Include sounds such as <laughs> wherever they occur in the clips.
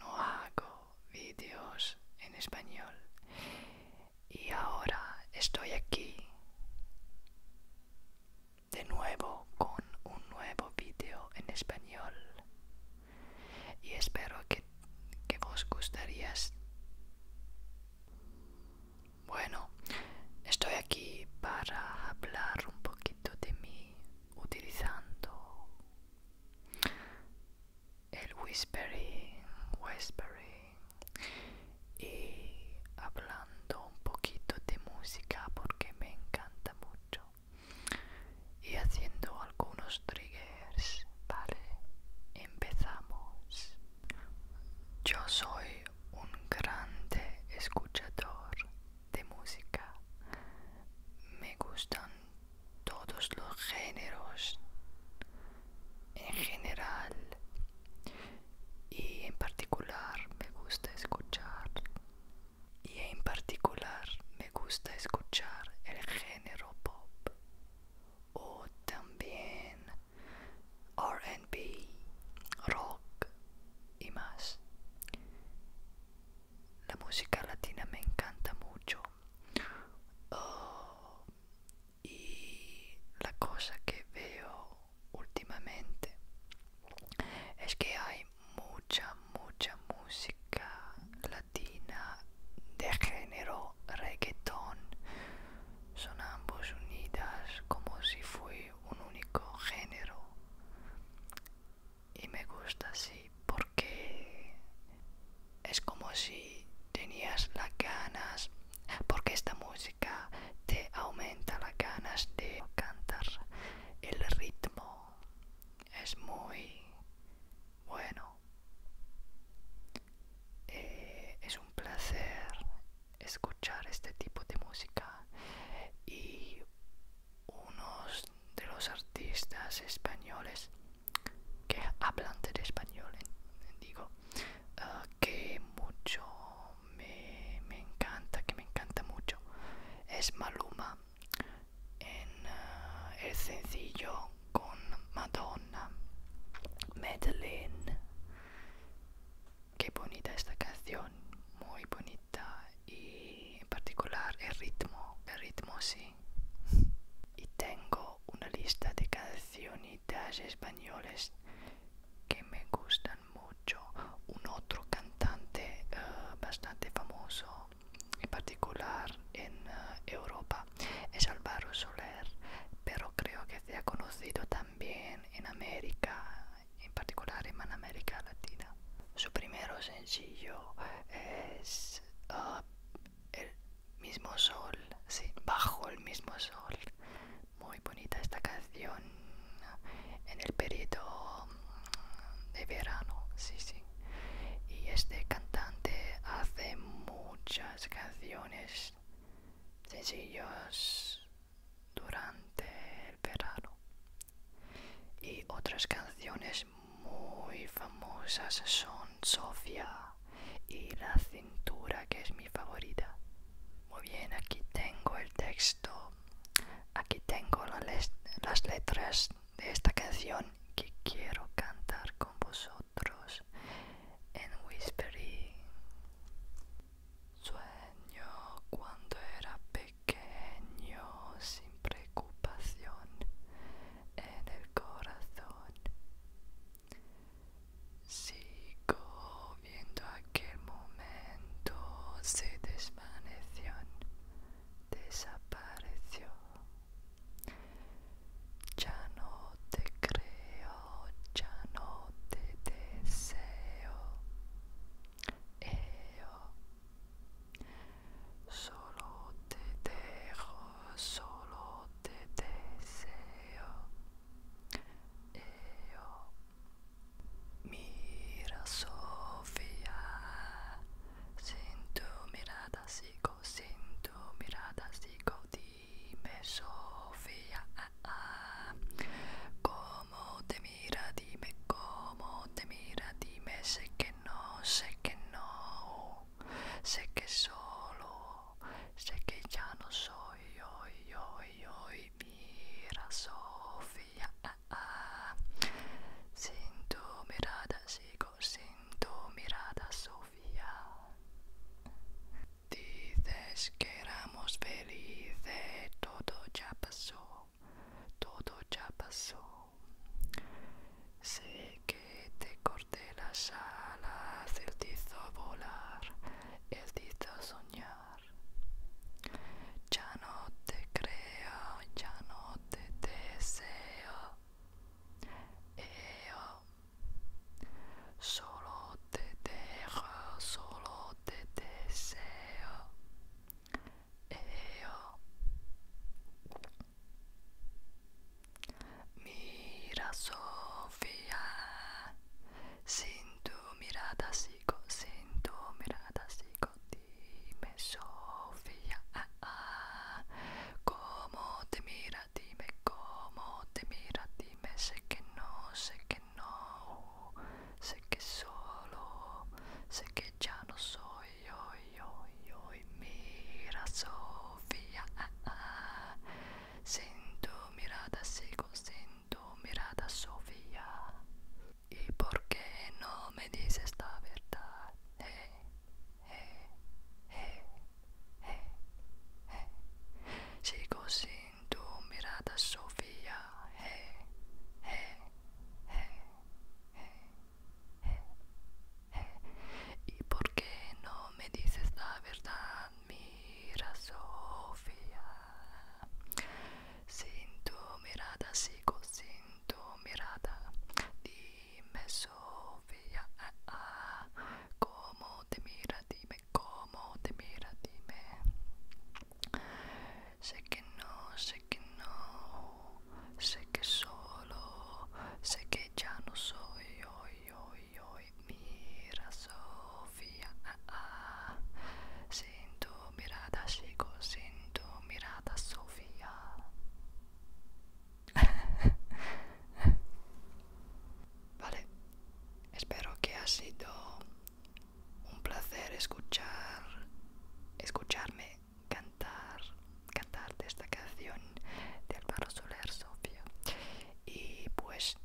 no hago vídeos en español y ahora estoy aquí de nuevo con un nuevo vídeo en español y espero que, que vos gustarías bueno estoy aquí para hablar un poquito de mí utilizando el whispering, whispering y hablando un poquito de música porque me encanta mucho y haciendo algunos triggers, ¿vale? Empezamos. Yo soy un grande escuchador de música. Me gustan todos los géneros en general y en particular me gusta escuchar y en particular me gusta escuchar el género pop o también RB, rock y más la música latina me encanta mucho oh, y la cosa que veo últimamente es que hay mucha mucha música latina de género reggaetón son ambos unidas como si fuera un único género y me gusta así porque es como si tenías las ganas porque esta música te aumenta las ganas de cantar el ritmo es muy bueno eh, es un placer escuchar este tipo de música y unos de los artistas españoles que hablan del español, digo, ah, que mucho me, encanta, que me encanta mucho, es Maluma en ah, el sencillo con Madonna, Madeleine. Qué bonita esta canción, muy bonita y en particular el ritmo, el ritmo sí y tengo una lista de canciones españoles que me gustan mucho. Un otro cantante eh, bastante famoso, en particular en eh, Europa, es Alvaro Soler, pero creo que se ha conocido también en América, en particular en América Latina. Su primer sencillo es Ah, el mismo sol, sí, bajo el mismo sol. Muy bonita esta canción en el periodo mm, de verano, sí, sí. Y este cantante hace muchas canciones sencillas durante el verano. Y otras canciones muy famosas son Sofía y La cintura, que es mi favorita. Muy bien, aquí tengo el texto. Aquí tengo las letras de esta canción que quiero cantar con vosotros en whispering. Sueño cuando era pequeño sin preocupación en eh, el corazón. Sigo viendo aquel momento, se desvaneció, desapareció. Ya no te creo, ya no te deseo. Solo te dejo, solo te deseo. Mira, Sofía, sin tu mirada sigo, sin tu mirada sigo, dime, Sofía, ah, ah. cómo te mira, dime, cómo te mira, dime, sé que no, sé que no, sé que solo, sé que ya no soy hoy, hoy, hoy, mira Sofía, ah, ah, sin tu mirada sigo, sin tu mirada Sofía. Dices que éramos felices, todo ya pasó, todo ya pasó. Sé que te corté las alas, el te hizo volar, el te soñar. Ya no te creo, ya no te deseo. Solo te dejo, solo te deseo. e io Mira Sofia Sintu mirada sigo Sintu mirada sigo Dime Sofia ah, ah. Como te mira dime Como te mira dime Sé che no, sé che no Sé che solo Sé che già non so oi, oi, oi, oi, mira, Sofia. sinto mirada, sigo sinto mirada, Sofia. e por que não me diz esta verdade Sigo sinto mirada, Sofia ¿Y por qué no me dices la verdad, mira Sofía? Sin tu mirada sigo, sin tu mirada. Dime Sofía, ah, ah, cómo te mira, dime cómo te mira, dime. Sé que no, sé sé que no, sé que solo, sé que ya no soy hoy, hoy, hoy. Mira, Sofía, ah, ah. siento mirada, sigo, siento mirada, Sofía. <laughs> vale, espero que ha sido un placer escuchar, escucharme cantar, de esta canción de Álvaro Soler Sofía. Y pues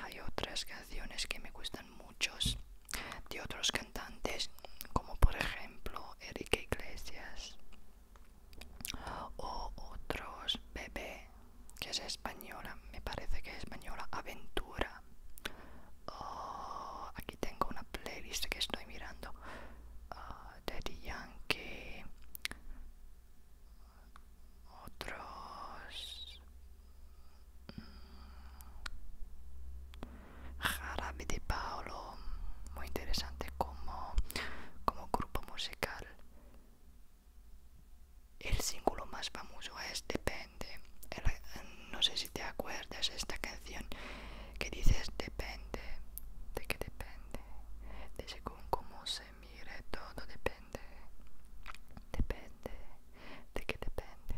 hay otras canciones que me gustan muchos de otros cantantes, como por ejemplo Enrique Iglesias o otros Bebé, que es española, me parece que es española, Aventura. o oh, aquí tengo una playlist que estoy mirando. Ah, dirían Yankee, otros mmm, de Paolo, muy interesante como, grupo musical. El símbolo más famoso es Depende. no sé si te acuerdas esta canción que dices depende, de que depende, de según cómo se mire todo depende, depende, de que depende,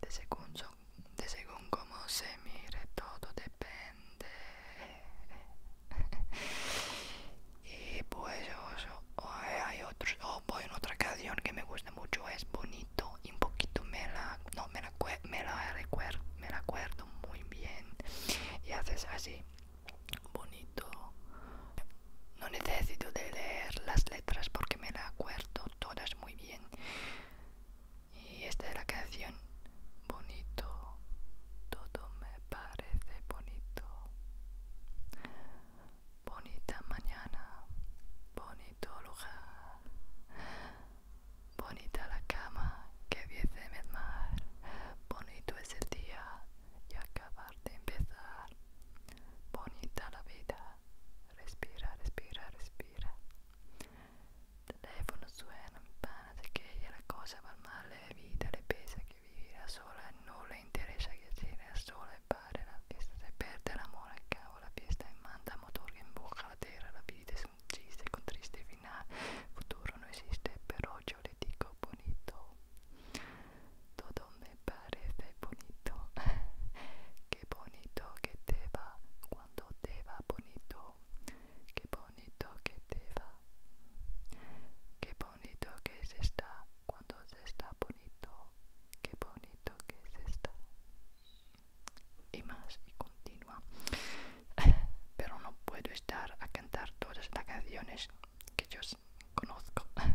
de según, como de según cómo se mire todo depende. <laughs> y pues oh, oh, eh, hay otros, o oh, voy en otra canción que me gusta mucho, es bonito y un poquito me la, no, me la, me la recuerdo, me la acuerdo muy bien y haces así bonito no necesito de leer las letras porque me las acuerdo todas muy bien y esta es la canción bonito todo me parece bonito bonita mañana bonito lugar Bonita la cama que viese en el mar, bonito es el día y acabar de empezar. Bonita la vida, respira, respira, respira. Teléfono suena, pana de que la cosa va mal, la vida le pesa que vivirá sola, no le interesa que siga sola y pare la fiesta, se pierde el amor, acaba la fiesta y manda motor que empuja la tierra, la vida es Sí, se con triste final futuro no existe pero yo le digo bonito todo me parece bonito <laughs> qué bonito que te va cuando te va bonito qué bonito que te va qué bonito que se está cuando se está bonito qué bonito que se está y más y continua <laughs> pero no puedo estar a cantar todas las canciones que yo conozco <laughs>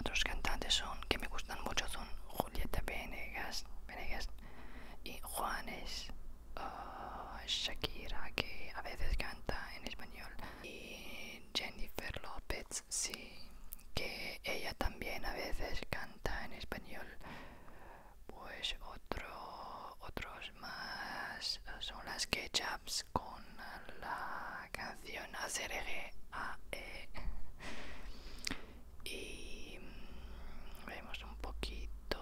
otros cantantes son que me gustan mucho son Julieta Venegas, Venegas y Juanes ah, Shakira que a veces canta en español y Jennifer Lopez, sí que ella también a veces canta en español pues otro, otros más son las ketchups con la canción A. E. y mm, vemos un poquito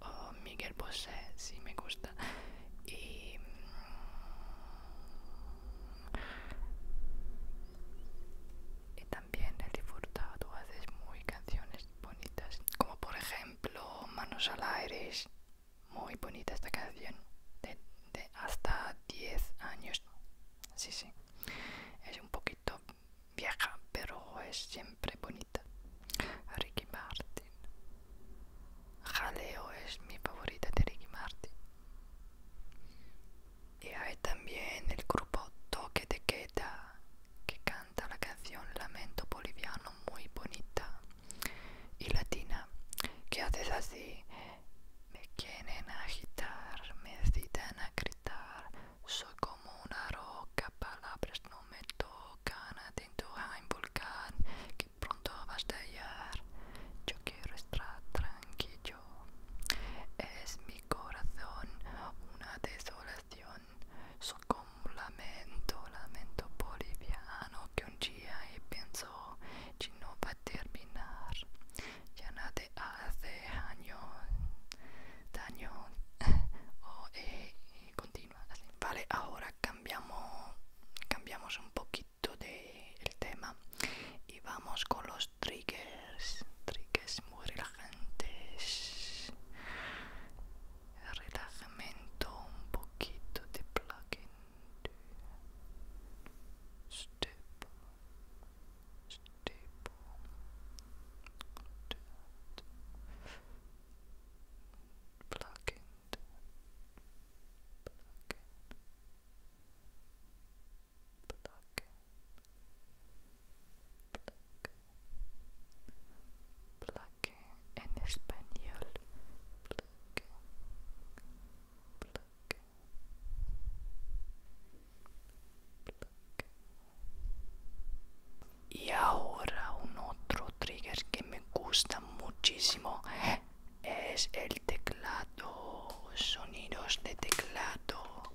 oh, Miguel Bosé si me gusta y mm, también el disfrutado haces muy canciones bonitas, como por ejemplo Manos al aire, es muy bonita esta canción, de, hasta 10 años, sí, sí, es un poquito vieja, pero es siempre bonita. Ricky Martin, Jaleo es mi favorita de Ricky Martin. Y hay también el grupo Toque de Queda, que canta canta la canción Lamento Boliviano muy bonita y latina. ¿Qué haces así? Me quieren agitar, me citan a gritar. Soy como una roca, palabras no me tocan. Atento a un volcán que pronto vas a hallar. Yo quiero estar tranquilo. Es mi corazón, una tesora oración. como lamento, lamento boliviano que un día he pensado que no va a terminar. Ya nada hace años, daño. <laughs> o eh, Vale, ahora cambiamos, cambiamos un poquito del tema y vamos con los triggers ricas, muy relajantes. Relajamiento, un poquito de plugging Step, step. Plug in, plug in, plug in, en español. Y ahora un otro trigger que me gusta muchísimo es el teclado, sonidos de teclado.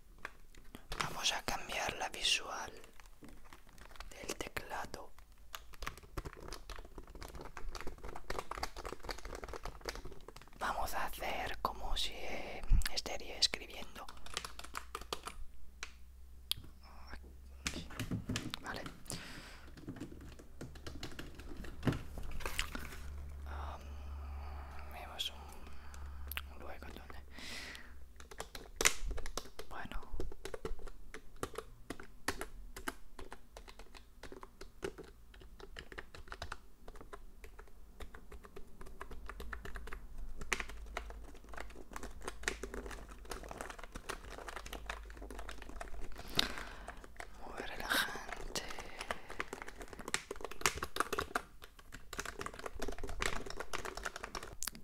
Vamos a cambiar la visual del teclado. Vamos a hacer como si eh, escribiendo. Vale. luego bueno. Muy relajante.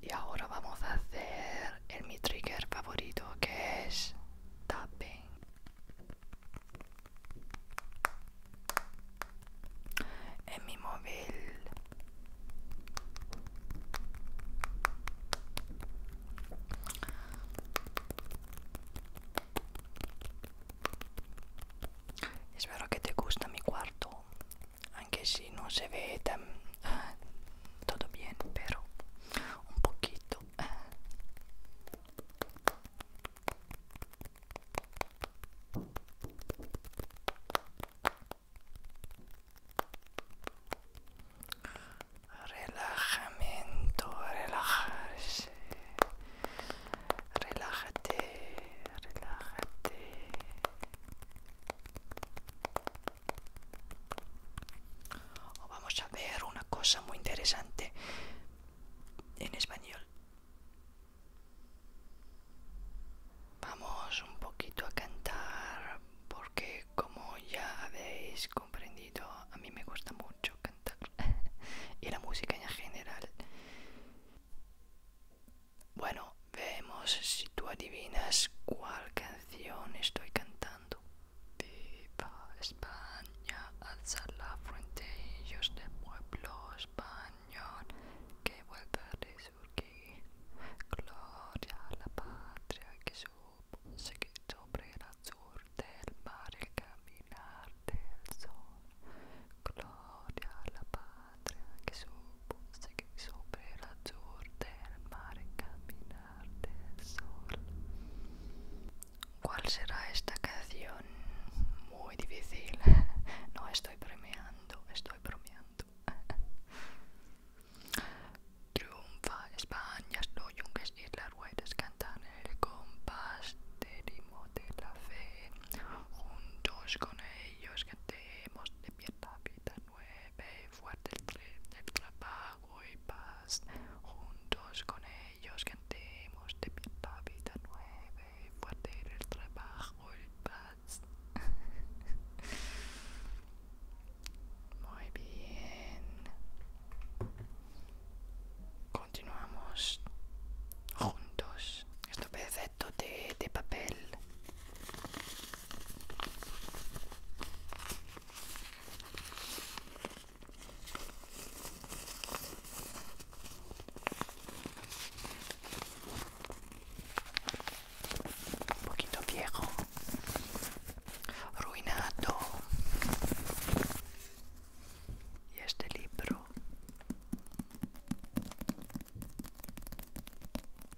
Y ahora vamos a hacer el mi trigger favorito que es tapping. En mi móvil Espero que te gusta mi cuarto aunque si no se ve tan ah, todo bien pero un poquito ah. relajamiento relajarse relájate relájate vamos a ver una cosa muy interesante en español. Vamos un poquito a cantar porque como ya habéis comprendido, a mí me gusta mucho cantar <laughs> y la música en general. Bueno, vemos si tú adivinas cuál canción estoy cantando. Viva España, alza la frente, ellos de pueblo español, que vuelve a resurgir. Gloria a la patria que supo seguir sobre el azul del mar, el caminar del sol. Gloria a la patria que supo seguir sobre la del mar caminar sol. ¿Cuál será esta canción? Muy difícil. <laughs> No estoy premiando, estoy bromeando. <laughs> Triunfa España, los yunques y las ruedas cantan el compás del himno de la fe. Juntos con ellos cantemos de pierda vida nueve, fuerte el, trabajo y paz. Juntos con ellos <laughs> cantemos de vida nueve, fuerte el trabajo y paz. Muy bien. Continuamos juntos. Esto parece ¿eh? de, de papel un poquito viejo ruinado y este libro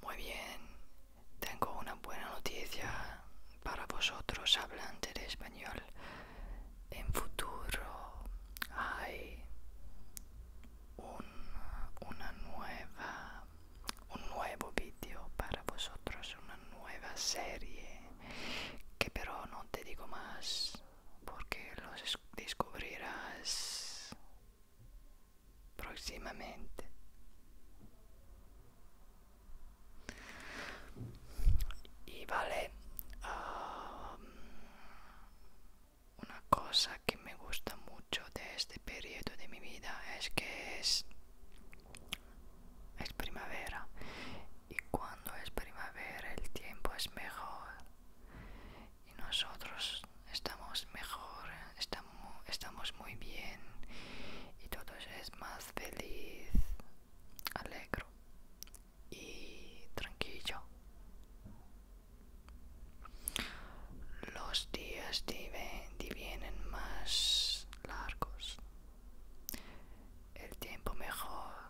Muy bien, tengo una buena noticia para vosotros hablantes de español. En futuro hay un, una nueva, un nuevo vídeo para vosotros, una nueva serie que pero no te digo más porque los descubrirás próximamente. Y vale, um, una cosa que me gusta mucho de este periodo de mi vida es que es, es primavera. Y cuando es primavera el tiempo es mejor. Y nosotros estamos mejor, estamos, muy bien y todo es más feliz, alegro y tranquilo. Los días divienen más largos, el tiempo mejor,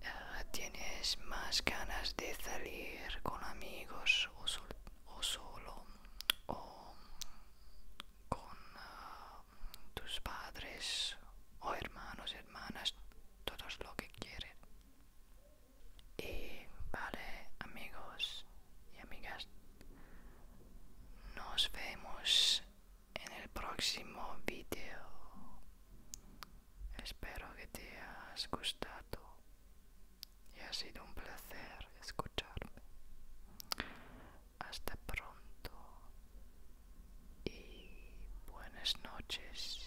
eh, tienes más ganas de salir con amigos o solteros o solo o con ah, tus padres o hermanos, hermanas, todos lo que quieren. Y vale, amigos y amigas, nos vemos en el próximo vídeo. Espero que te haya gustado y ha sido un placer escucharme. Hasta pronto y buenas noches.